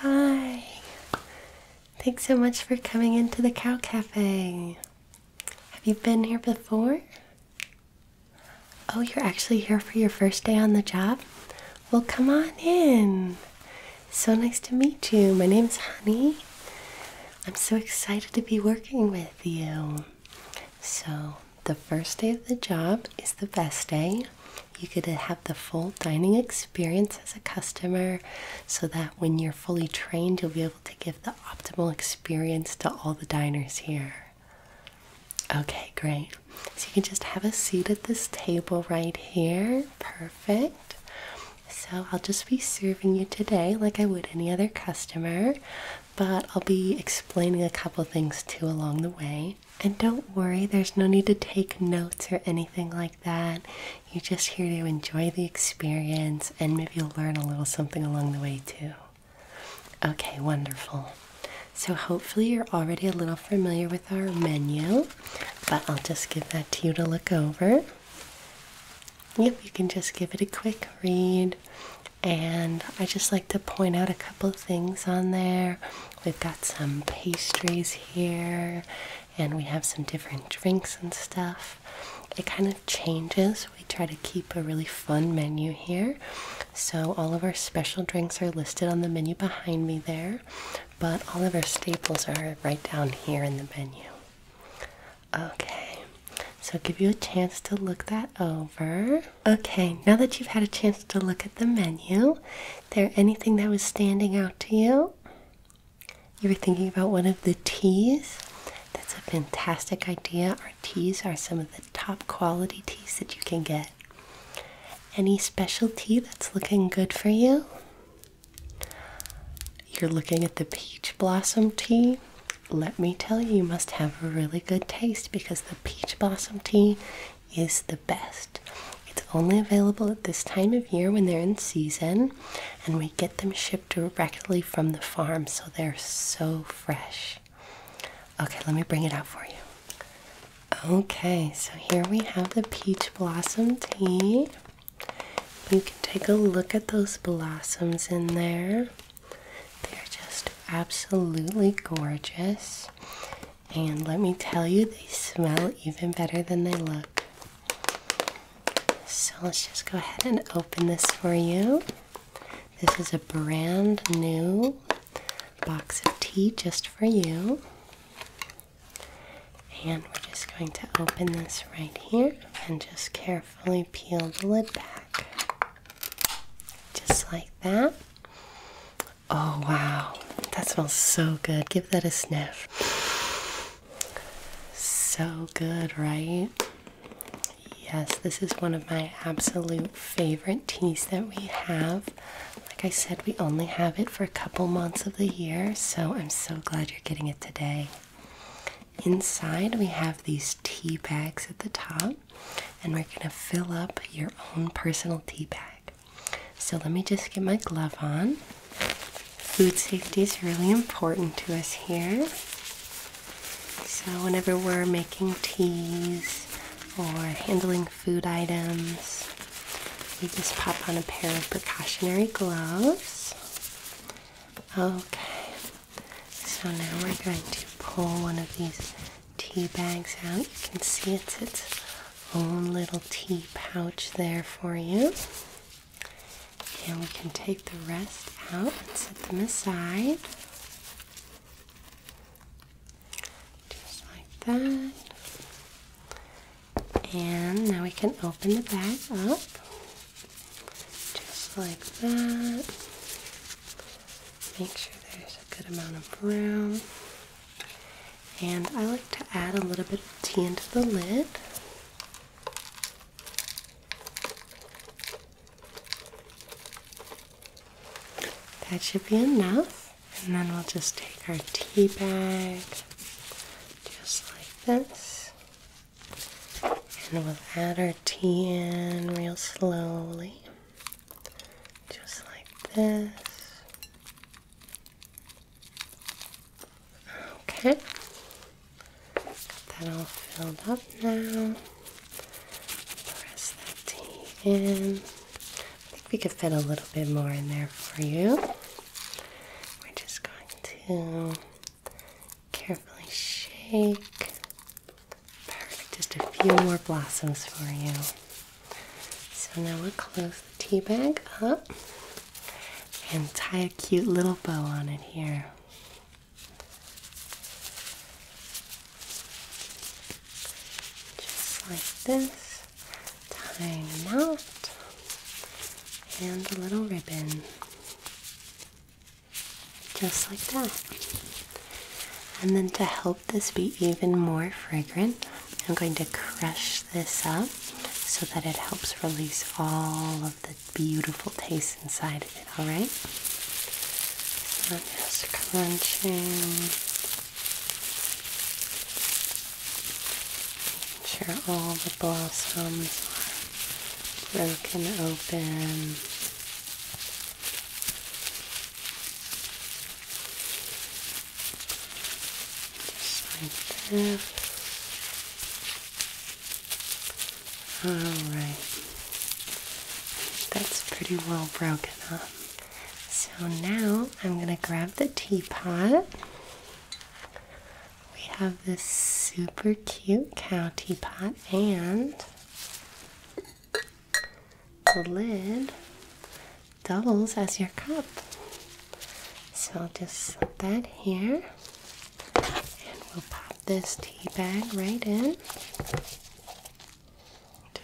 Hi. Thanks so much for coming into the Cow Cafe. Have you been here before? Oh, you're actually here for your first day on the job? Well, come on in. So nice to meet you. My name's Honey. I'm so excited to be working with you. So, the first day of the job is the best day. You could have the full dining experience as a customer so that when you're fully trained, you'll be able to give the optimal experience to all the diners here. Okay, great. So you can just have a seat at this table right here. Perfect. So I'll just be serving you today like I would any other customer, but I'll be explaining a couple things too along the way and don't worry, there's no need to take notes or anything like that. You're just here to enjoy the experience and maybe you'll learn a little something along the way too. Okay, wonderful. So, hopefully, you're already a little familiar with our menu, but I'll just give that to you to look over. Yep, you can just give it a quick read. And I just like to point out a couple things on there. We've got some pastries here, and we have some different drinks and stuff. It kind of changes. We try to keep a really fun menu here. So, all of our special drinks are listed on the menu behind me there, but all of our staples are right down here in the menu. Okay, so give you a chance to look that over. Okay, now that you've had a chance to look at the menu, there anything that was standing out to you? You were thinking about one of the teas? That's a fantastic idea. Our teas are some of the top quality teas that you can get. Any special tea that's looking good for you? You're looking at the peach blossom tea. Let me tell you, you must have a really good taste because the peach blossom tea is the best. It's only available at this time of year when they're in season, and we get them shipped directly from the farm, so they're so fresh. Okay, let me bring it out for you. Okay, so here we have the peach blossom tea. You can take a look at those blossoms in there. They're just absolutely gorgeous. And let me tell you, they smell even better than they look. So let's just go ahead and open this for you. This is a brand new box of tea just for you. And we're just going to open this right here and just carefully peel the lid back. Just like that. Oh, wow. That smells so good. Give that a sniff. So good, right? Yes, this is one of my absolute favorite teas that we have. Like I said, we only have it for a couple months of the year, so I'm so glad you're getting it today. Inside, we have these tea bags at the top and we're going to fill up your own personal tea bag. So let me just get my glove on. Food safety is really important to us here. So, whenever we're making teas or handling food items, we just pop on a pair of precautionary gloves. Okay, so now we're going to pull one of these tea bags out. You can see it's its own little tea pouch there for you. And we can take the rest out and set them aside. Just like that. And now we can open the bag up. Just like that. Make sure there's a good amount of room. And I like to add a little bit of tea into the lid. That should be enough. And then we'll just take our tea bag, just like this. And we'll add our tea in real slowly just like this. Okay, got that all filled up now. Press that in. I think we could fit a little bit more in there for you. We're just going to carefully shake Perfect. Just a few more blossoms for you. So now we'll close the tea bag up and tie a cute little bow on it here. Just like this, Tie a knot and a little ribbon just like that. And then to help this be even more fragrant, I'm going to crush this up so that it helps release all of the beautiful taste inside of it, alright? So just crunching. Making sure all the blossoms are broken open. Just like that. Alright. That's pretty well broken up. So now I'm going to grab the teapot. We have this super cute cow teapot and the lid doubles as your cup. So I'll just set that here and we'll pop this tea bag right in.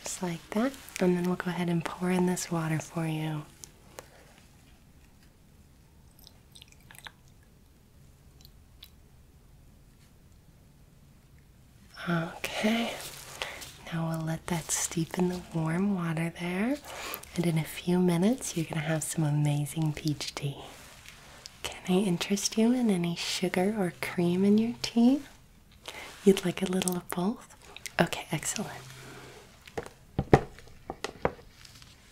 Just like that. And then we'll go ahead and pour in this water for you. Okay, now we'll let that steep in the warm water there, and in a few minutes, you're going to have some amazing peach tea. Can I interest you in any sugar or cream in your tea? You'd like a little of both? Okay, excellent.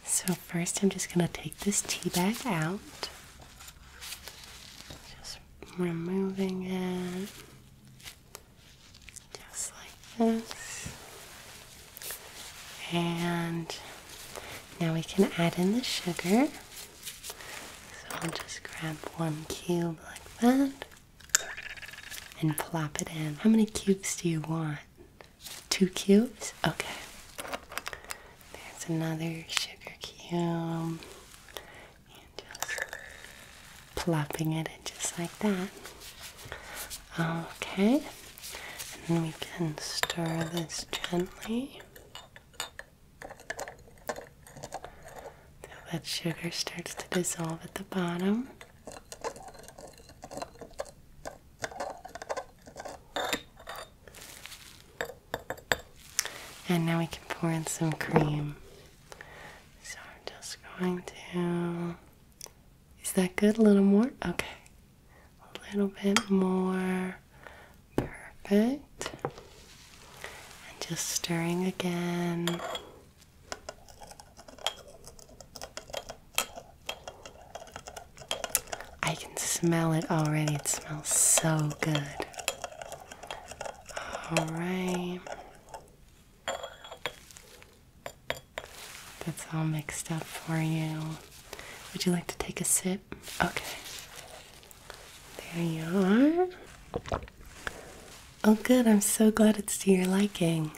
So, first, I'm just going to take this tea bag out. Just removing it just like this. And now we can add in the sugar. So I'll just grab one cube like that and plop it in. How many cubes do you want? Two cubes? Okay. There's another sugar cube. And just plopping it in just like that. Okay. And we can stir this gently. Till that sugar starts to dissolve at the bottom. And now we can pour in some cream. So I'm just going to. Is that good? A little more? Okay. A little bit more. Perfect. And just stirring again. I can smell it already. It smells so good. All right. That's all mixed up for you. Would you like to take a sip? Okay. There you are. Oh, good. I'm so glad it's to your liking.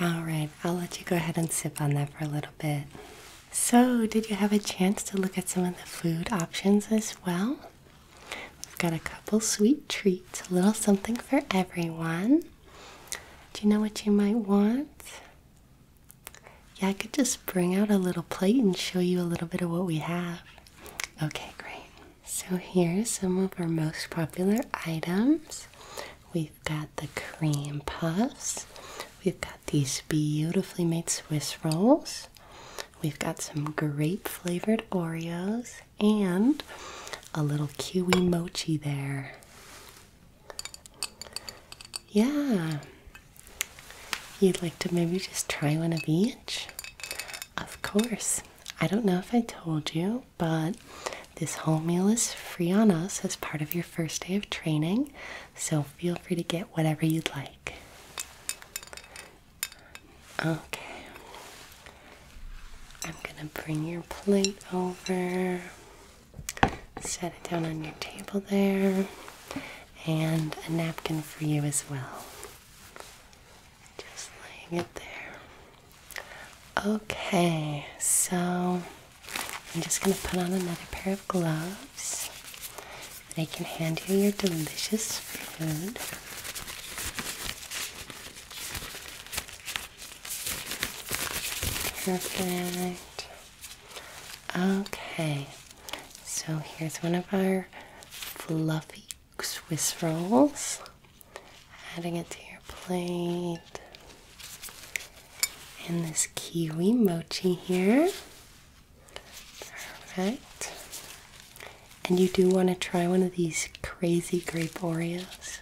All right, I'll let you go ahead and sip on that for a little bit. So, did you have a chance to look at some of the food options as well? We've got a couple sweet treats, a little something for everyone. Do you know what you might want? Yeah, I could just bring out a little plate and show you a little bit of what we have. Okay, great. So, here's some of our most popular items. We've got the cream puffs, we've got these beautifully made Swiss rolls. We've got some grape flavored Oreos and a little kiwi mochi there. Yeah. You'd like to maybe just try one of each? Of course. I don't know if I told you, but this whole meal is free on us as part of your first day of training, so feel free to get whatever you'd like. Okay. I'm going to bring your plate over, set it down on your table there, and a napkin for you as well. Just laying it there. Okay, so I'm just going to put on another pair of gloves so I can hand you your delicious food. Perfect. Okay, so here's one of our fluffy Swiss rolls. Adding it to your plate. And this kiwi mochi here. Perfect. And you do want to try one of these crazy grape Oreos.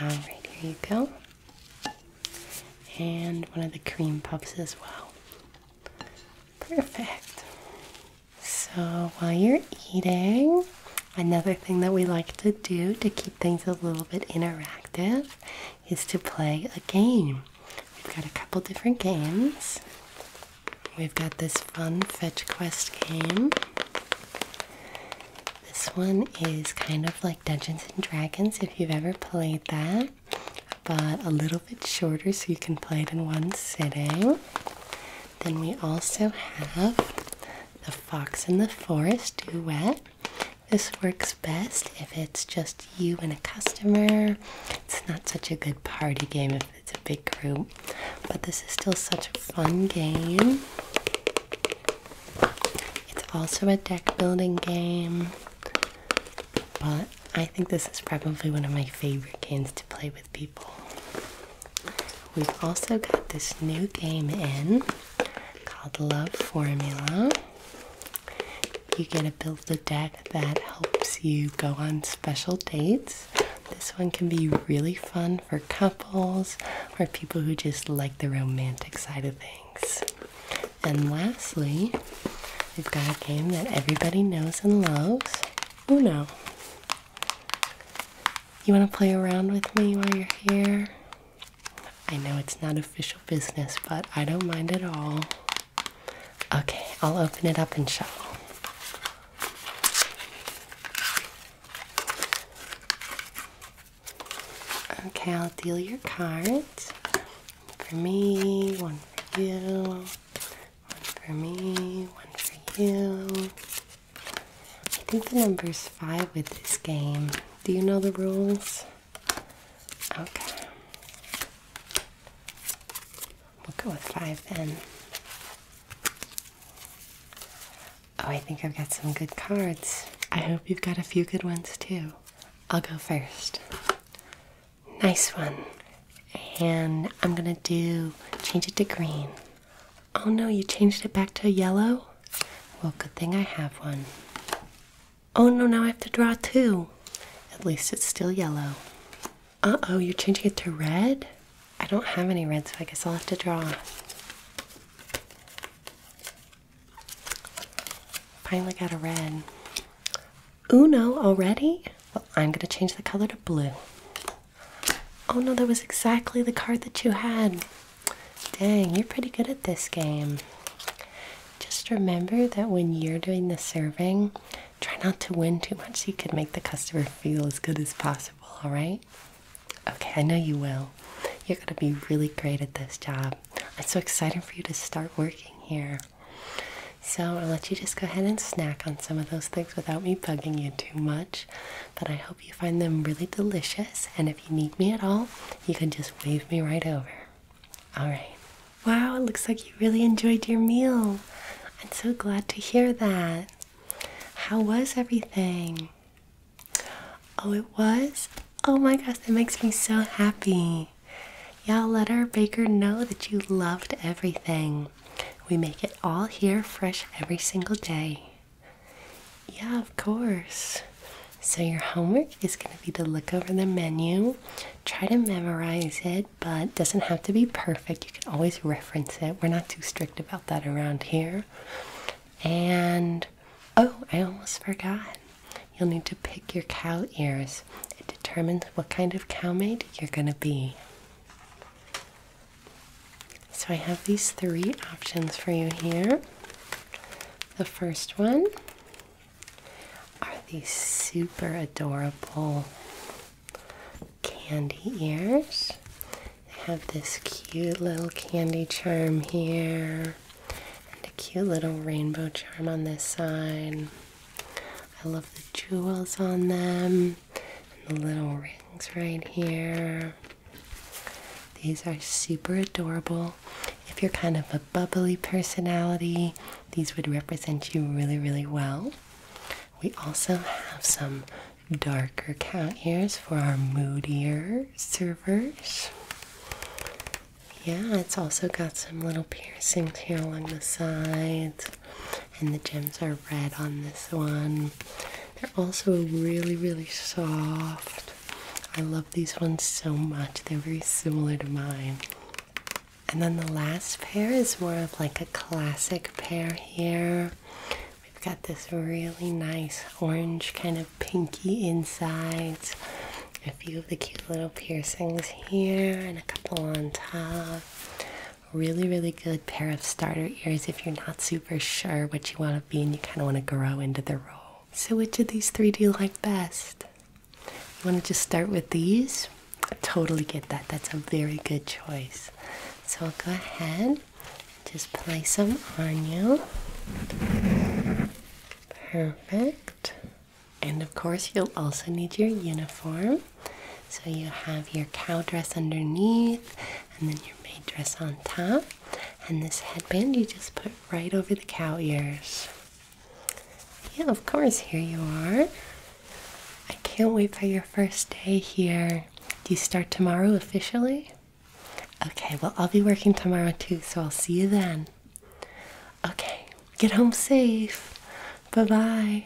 Alright, here you go. And one of the cream puffs as well. Perfect. So while you're eating, another thing that we like to do to keep things a little bit interactive is to play a game. We've got a couple different games. We've got this fun fetch quest game. This one is kind of like Dungeons and Dragons if you've ever played that, but a little bit shorter so you can play it in one sitting. Then we also have the Fox and the Forest duet. This works best if it's just you and a customer. It's not such a good party game if it's a big group, but this is still such a fun game. It's also a deck building game, but I think this is probably one of my favorite games to play with people. We've also got this new game in called Love Formula. You get to build a deck that helps you go on special dates. This one can be really fun for couples or people who just like the romantic side of things. And lastly, we've got a game that everybody knows and loves Uno. You want to play around with me while you're here? I know it's not official business, but I don't mind at all. Okay, I'll open it up and shuffle. Okay, I'll deal your cards. For me, one for you, one for me, one for you, I think the number is five with this game. Do you know the rules? Okay. We'll go with five then. Oh, I think I've got some good cards. I hope you've got a few good ones too. I'll go first. Nice one. And I'm gonna do change it to green. Oh no, you changed it back to yellow? Well, good thing I have one. Oh no, now I have to draw two. At least it's still yellow. Uh oh, you're changing it to red? I don't have any red, so I guess I'll have to draw. Finally got a red. Uno already? Well, I'm going to change the color to blue. Oh no, that was exactly the card that you had. Dang, you're pretty good at this game. Just remember that when you're doing the serving, try not to win too much so you can make the customer feel as good as possible, alright? Okay, I know you will. You're gonna be really great at this job. I'm so excited for you to start working here. So I'll let you just go ahead and snack on some of those things without me bugging you too much but I hope you find them really delicious. And if you need me at all, you can just wave me right over. All right. Wow, it looks like you really enjoyed your meal. I'm so glad to hear that. How was everything? Oh, it was? Oh my gosh, that makes me so happy. Y'all let our baker know that you loved everything. We make it all here fresh every single day. Yeah, of course. So, your homework is going to be to look over the menu, try to memorize it, but it doesn't have to be perfect. You can always reference it. We're not too strict about that around here. And oh, I almost forgot. You'll need to pick your cow ears. It determines what kind of cow maid you're going to be. So I have these three options for you here. The first one are these super adorable candy ears. They have this cute little candy charm here and a cute little rainbow charm on this side. I love the jewels on them the little rings right here. These are super adorable. If you're kind of a bubbly personality, these would represent you really, really well. We also have some darker count ears for our moodier servers. Yeah, it's also got some little piercings here along the sides and the gems are red on this one. They're also really, really soft. I love these ones so much. They're very similar to mine. And then the last pair is more of like a classic pair here. We've got this really nice orange kind of pinky insides. A few of the cute little piercings here and a couple on top really really good pair of starter ears if you're not super sure what you want to be and you kind of want to grow into the role so which of these three do you like best you want to just start with these I totally get that that's a very good choice so i'll go ahead just place them on you perfect and of course you'll also need your uniform so you have your cow dress underneath, and then your maid dress on top, and this headband you just put right over the cow ears. Yeah, of course, here you are. I can't wait for your first day here. Do you start tomorrow officially? Okay, well, I'll be working tomorrow too, so I'll see you then. Okay, get home safe. Bye bye.